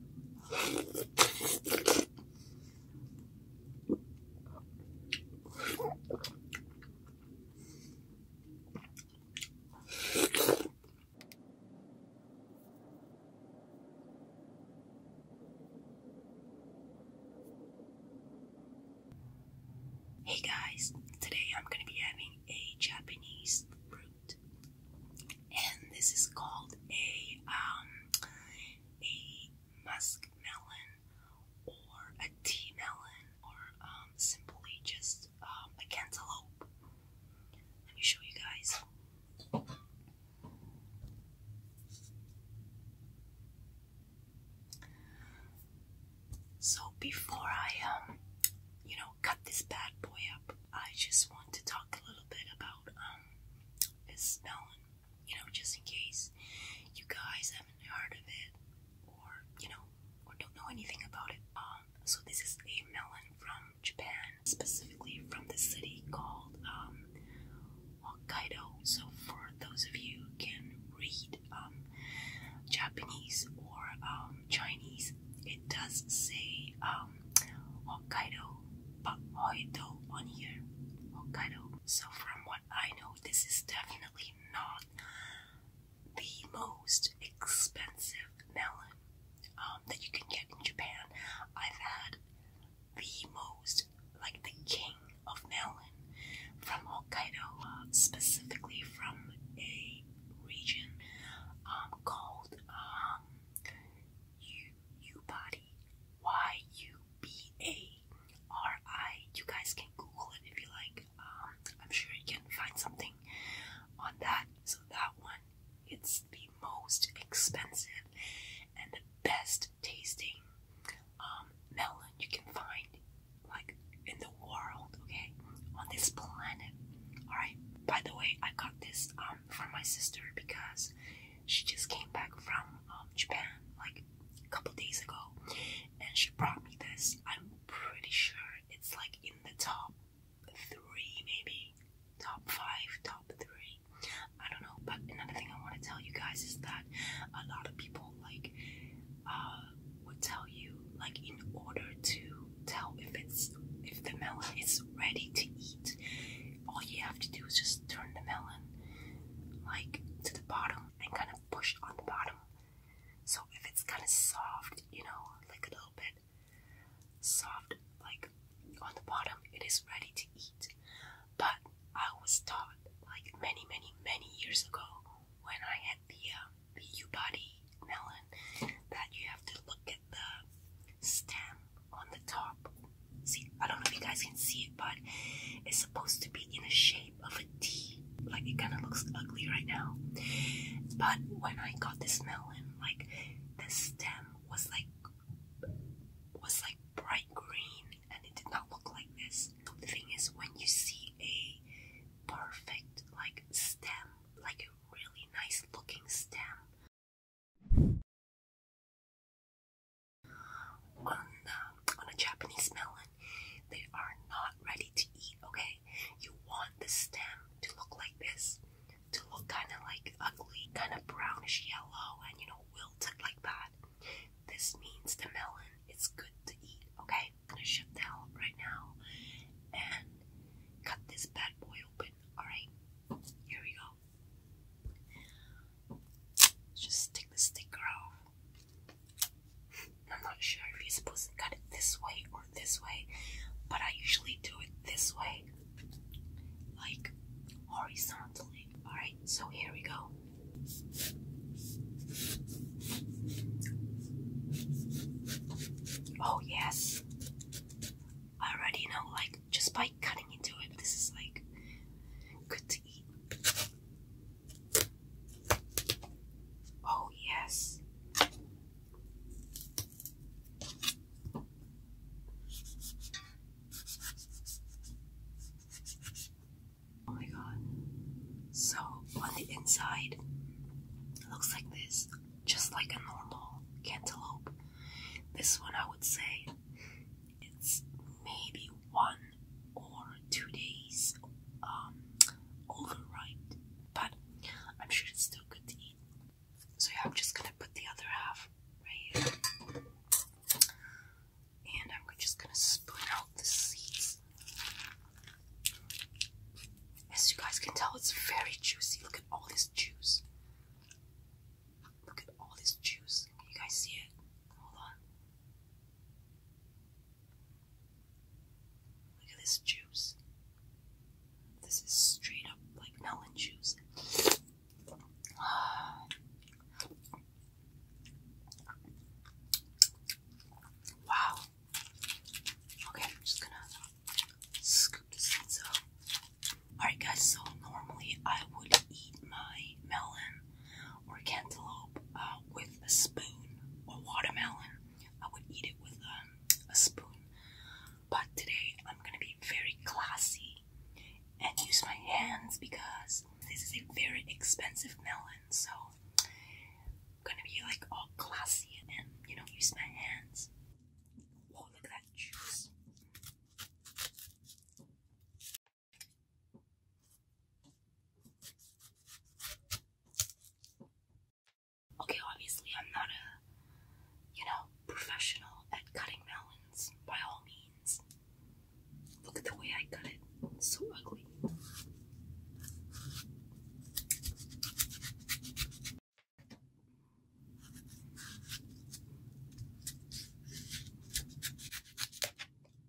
Hey guys, today I'm going to be having a Japanese root and this is called a um a musk melon or a tea melon or um simply just um, a cantaloupe. Let me show you guys. So before I um you know cut this bad boy up, I just want to talk a little bit about um is known, you know, just in case you guys haven't heard of it or you know or don't know anything about it. Um, so this is a melon from Japan, specifically from the city called um, So for those of you who can read um, Japanese or um, Chinese, it does say um, Hokkaido, but Hokkaido on here. Hokkaido. So from what I know, this is definitely not the most expensive melon um, that you can get in Japan. I've had the most, like the king of melon from Hokkaido, uh, specifically from a region um, called U U body Y U B A R I. You guys can Google it if you like. Um, I'm sure you can find something on that. So that one, it's the most expensive and the best tasting um, melon you can find, like in the world. Okay, on this planet. All right. By the way, I got this. Um, um, for my sister because she just came back from um, Japan like a couple days ago and she brought me this. I'm pretty sure it's like in the top three, maybe top five, top three. I don't know, but another thing I want to tell you guys is that a lot of people like uh, would tell you like in order to tell if it's if the melon is ready to eat. All you have to do is just turn the melon like to the bottom and kind of push on the bottom. So if it's kind of soft, you know, like a little bit soft, like on the bottom, it is ready to eat. But I was taught, like many, many, many years ago, when I had the uh, the body melon, that you have to look at the stem on the top. See, I don't know if you guys can see it, but it's supposed to be in the shape of a T. Like it kind of looks ugly right now. But when I got this melon, like the stem was like was like bright green and it did not look like this. The thing is when you see a perfect like stem, like a really nice looking stem on, a Japanese melon, they are not ready to eat, okay? You want the stem to look like this, to look kind of like ugly, kind of brownish yellow, and you know, wilted like that. This means the melon is good to eat, okay? I'm gonna shift the out right now and cut this bad boy open, alright? Here we go. Just take the sticker off. I'm not sure if you're supposed to cut it this way or this way, but I usually do it this way, like horizontally. Alright, so here we go. Oh, yes. I already know, like, just by cutting into it, this is like good to eat. Oh, yes. Oh my god. So on the inside, it looks like this, just like a normal cantaloupe. This one, I would say, it's maybe one or two days um, overripe, but I'm sure it's still good to eat. So yeah, I'm just gonna put the other half right here, and I'm just gonna split out the seeds. As you guys can tell, it's very juicy all this juice. Look at all this juice. you guys see it? Hold on. Look at this juice. This is straight up like melon juice. wow. Okay, I'm just gonna Scoop the seeds up. Alright guys, so normally I would eat my melon or cantaloupe uh, with a spoon or watermelon. I would eat it with um, a spoon. But today I'm gonna be very classy and use my hands because this is a very expensive melon. So I'm gonna be like all classy and you know use my hands. Whoa, look at that juice. Okay, obviously, I'm not a, you know, professional at cutting melons by all means. Look at the way I cut it, so ugly.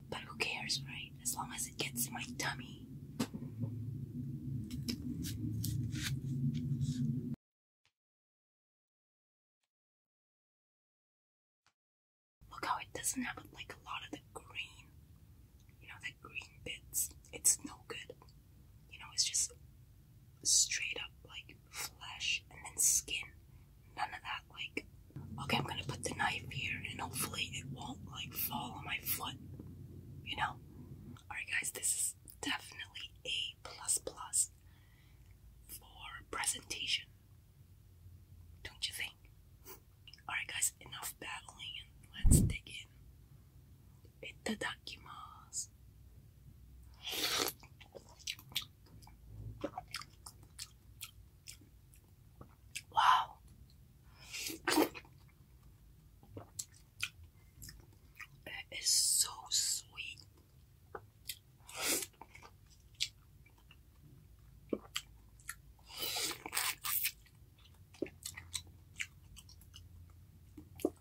But who cares, right? As long as it gets my tummy. Look how it doesn't have like a lot of the green, you know, the green bits. It's no good you know, it's just straight up like flesh and then skin. None of that, like, okay, I'm gonna put the knife here and hopefully it won't like fall on my foot, you know? Alright, guys, this is definitely a plus plus for presentation. Don't you think? Alright, guys, enough battling let's dig in itadakimasu. Wow. That is so sweet.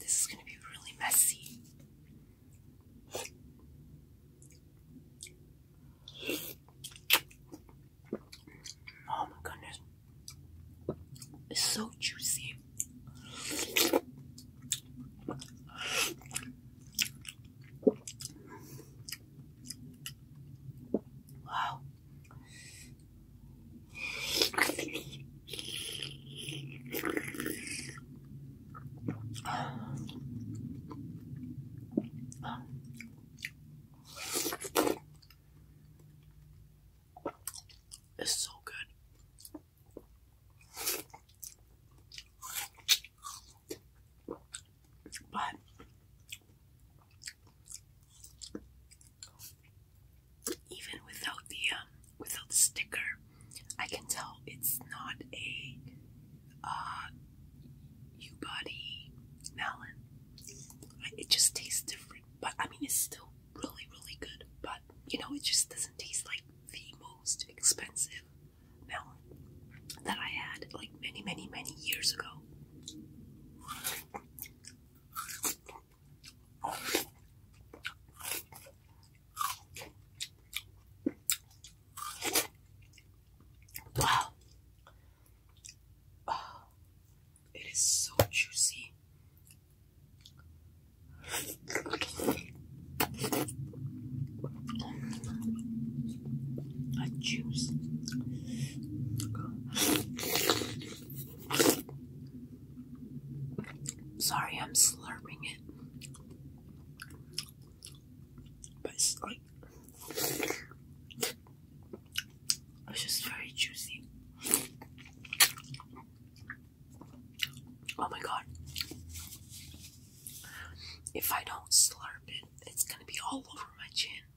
this is gonna be really messy. Oh my goodness. It's so juicy. Wow. It's so good. But even without the um, without the sticker, I can tell it's not a uh, Ubody melon. It just tastes different, but I mean it's still really really good. But you know it just doesn't taste like the most expensive melon that I had like many many many years ago. Wow. Oh, it is so juicy. A juice. Sorry, I'm slurping it. But it's like. It's just very juicy. Oh my god. If I don't slurp it, it's gonna be all over my chin.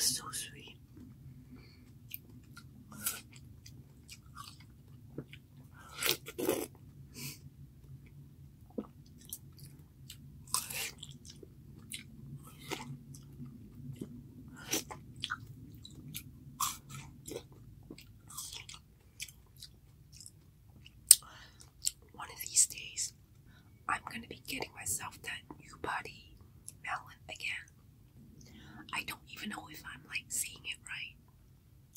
So sweet. One of these days, I'm going to be getting myself that new body melon again. I don't even know if I'm like seeing it right.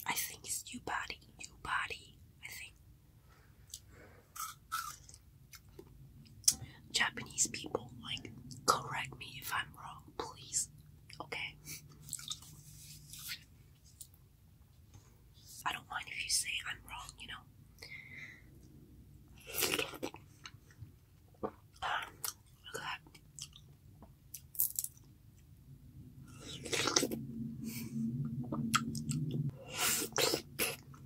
I think it's new body, new body, I think. Japanese people, like, correct me if I'm wrong, please. Okay? I don't mind if you say I'm wrong, you know? look at that.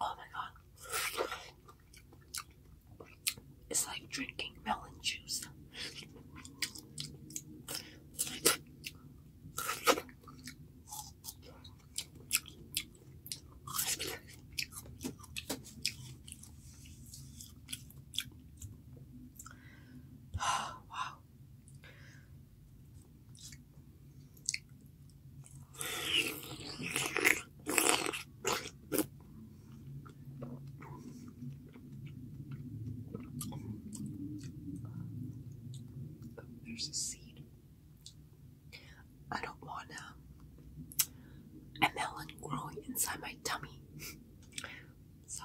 Oh my god. It's like drinking melon juice. wow there's a seed. I don't want um, a melon growing inside my tummy. so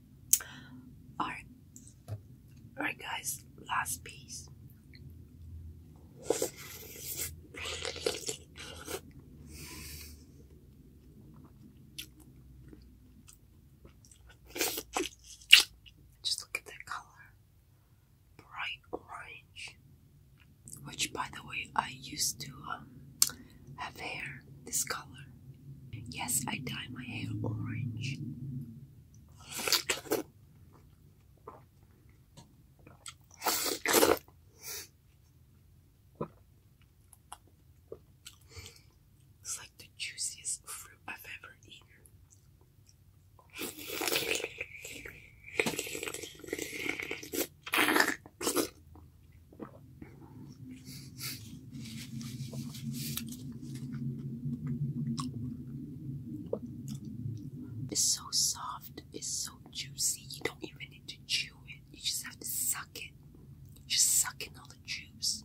Alright. Alright guys, last piece. Just look at that color. Bright orange. Which by the way I used to um, have hair this color Yes, I dye my hair orange. It's like the juiciest fruit I've ever eaten. It's so soft, it's so juicy, you don't even need to chew it, you just have to suck it. Just suck in all the juice.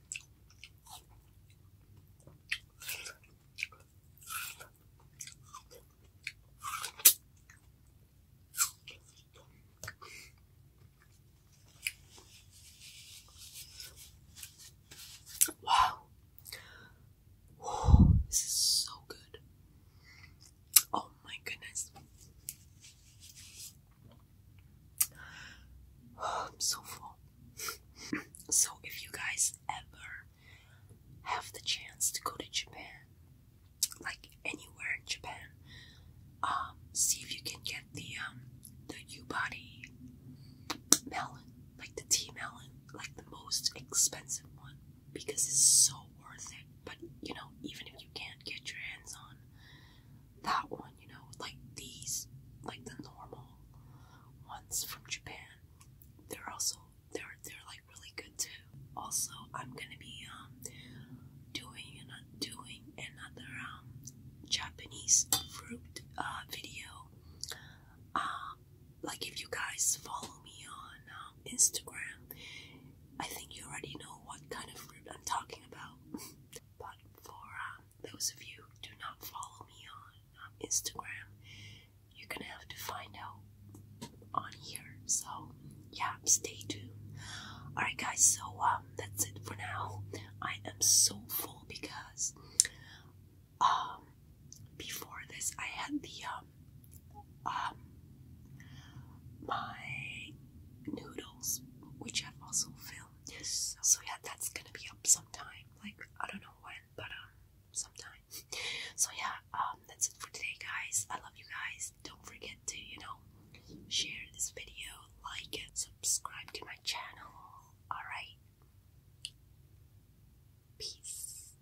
Wow. this is so good. Oh my goodness. I'm so full. so, if you guys ever have the chance to go to Japan, like anywhere in Japan, um, see if you can get the um the Ubody melon, like the tea melon, like the most expensive one, because it's so worth it. But you know, even if you can't get your hands on that one, you know, like these, like the normal ones from Japan. They're also they're they're like really good too. Also, I'm gonna be um doing and doing another um Japanese fruit uh video. Um, like if you guys follow me on um, Instagram, I think you already know what kind of fruit I'm talking about. but for uh, um, those of you who do not follow me on um, Instagram, you're gonna have to find out on here. So, yeah, stay tuned. Alright, guys, so um, that's it for now. I am so full because um, before this, I had the um, um, my noodles, which I've also filled. So, so yeah, that's gonna be up sometime. Like I don't know when, but um, sometime. So yeah, um, that's it for today, guys. I love you guys. Don't forget to you know share this video, like it, subscribe to my channel. All right, peace.